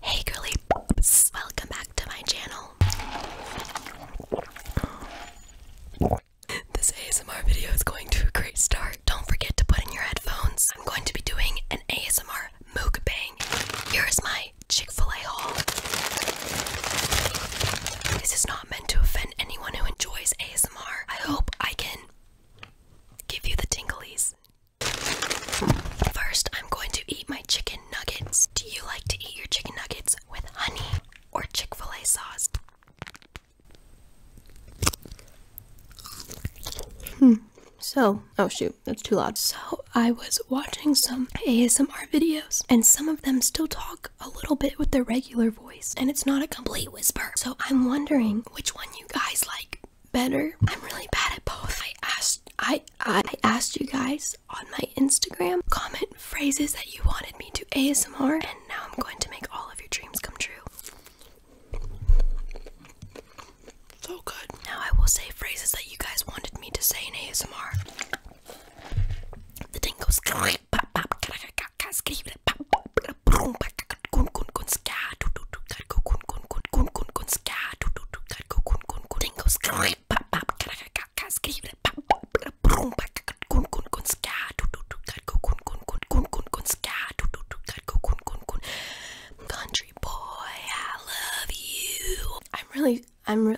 Hey girly welcome back to my channel. This ASMR video is going to a great start. Don't forget to put in your headphones. I'm going to be doing an ASMR mukbang. Here is my Chick-fil-A haul. This is not meant to offend anyone who enjoys ASMR. I hope I can give you the tingleys. First, I'm going to eat my chicken nuggets. Do you like to eat your chicken nuggets with honey or Chick fil A sauce? Hmm. So, oh shoot, that's too loud. So, I was watching some ASMR videos, and some of them still talk a little bit with their regular voice, and it's not a complete whisper. So, I'm wondering which one you guys like better. I'm really bad at both. I asked I I asked you guys on my Instagram comment phrases that you wanted me to ASMR and now I'm going to make all of your dreams come true. So good. Now I will say phrases that you guys wanted me to say in ASMR. The thing goes Country boy, I love you. I'm really, I'm,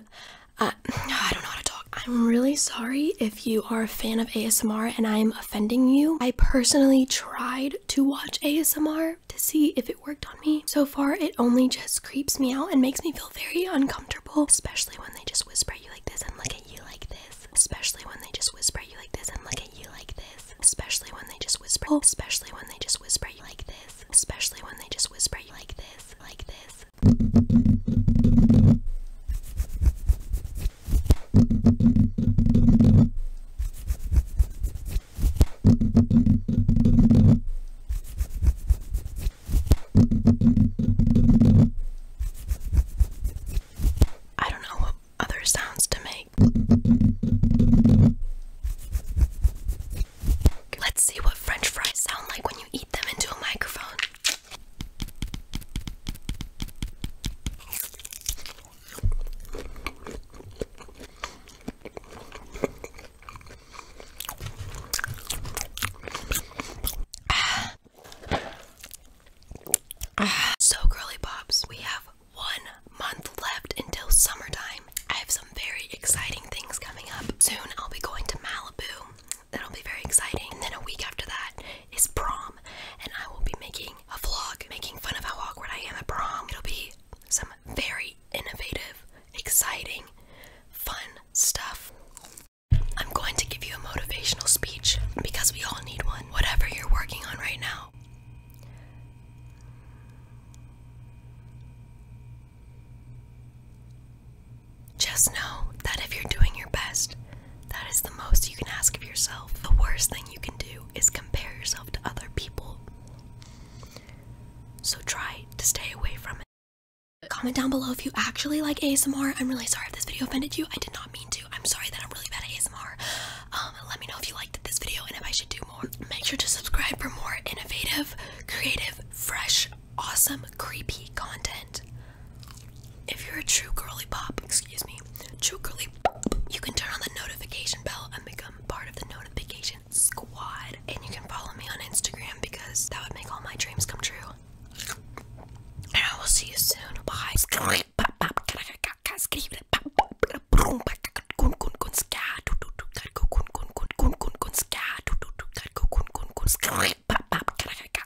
I don't know how to talk. I'm really sorry if you are a fan of ASMR and I'm offending you. I personally tried to watch ASMR to see if it worked on me. So far, it only just creeps me out and makes me feel very uncomfortable, especially when they just whisper at you like this and look at you like this. Especially when they just whisper at you like this and look at you like this. Especially when they just whisper, especially when they just whisper at you like this. Especially when they just whisper at you like this, like this. I don't know what other sounds to make. Let's see what french fries sound like when you eat them into a microphone. So, Girly Pops, we have one month left until summertime. I have some very exciting things coming up. Soon, I'll be going to Malibu. That'll be very exciting. And then a week after that, is prom, and I will be making a vlog making fun of how awkward I am at prom. It'll be some very innovative, exciting, fun stuff. I'm going to give you a motivational speech because we all need one, whatever you're working on right now. Just know that if you're doing your best, that is the most you can ask of yourself. The worst thing you can do is compare yourself to other people. So try to stay away from it. Comment down below if you actually like ASMR. I'm really sorry if this video offended you. I did not mean to. I'm sorry that I'm really bad at ASMR. Um, let me know if you liked this video and if I should do more. Make sure to subscribe for more innovative, creative, fresh, awesome, creepy content. If you're a true girly pop, excuse me, true girly pop, you can turn on the notification bell and become part of the notification squad. And you can follow me on Instagram because that would make all my dreams come true. And I will see you soon. Bye.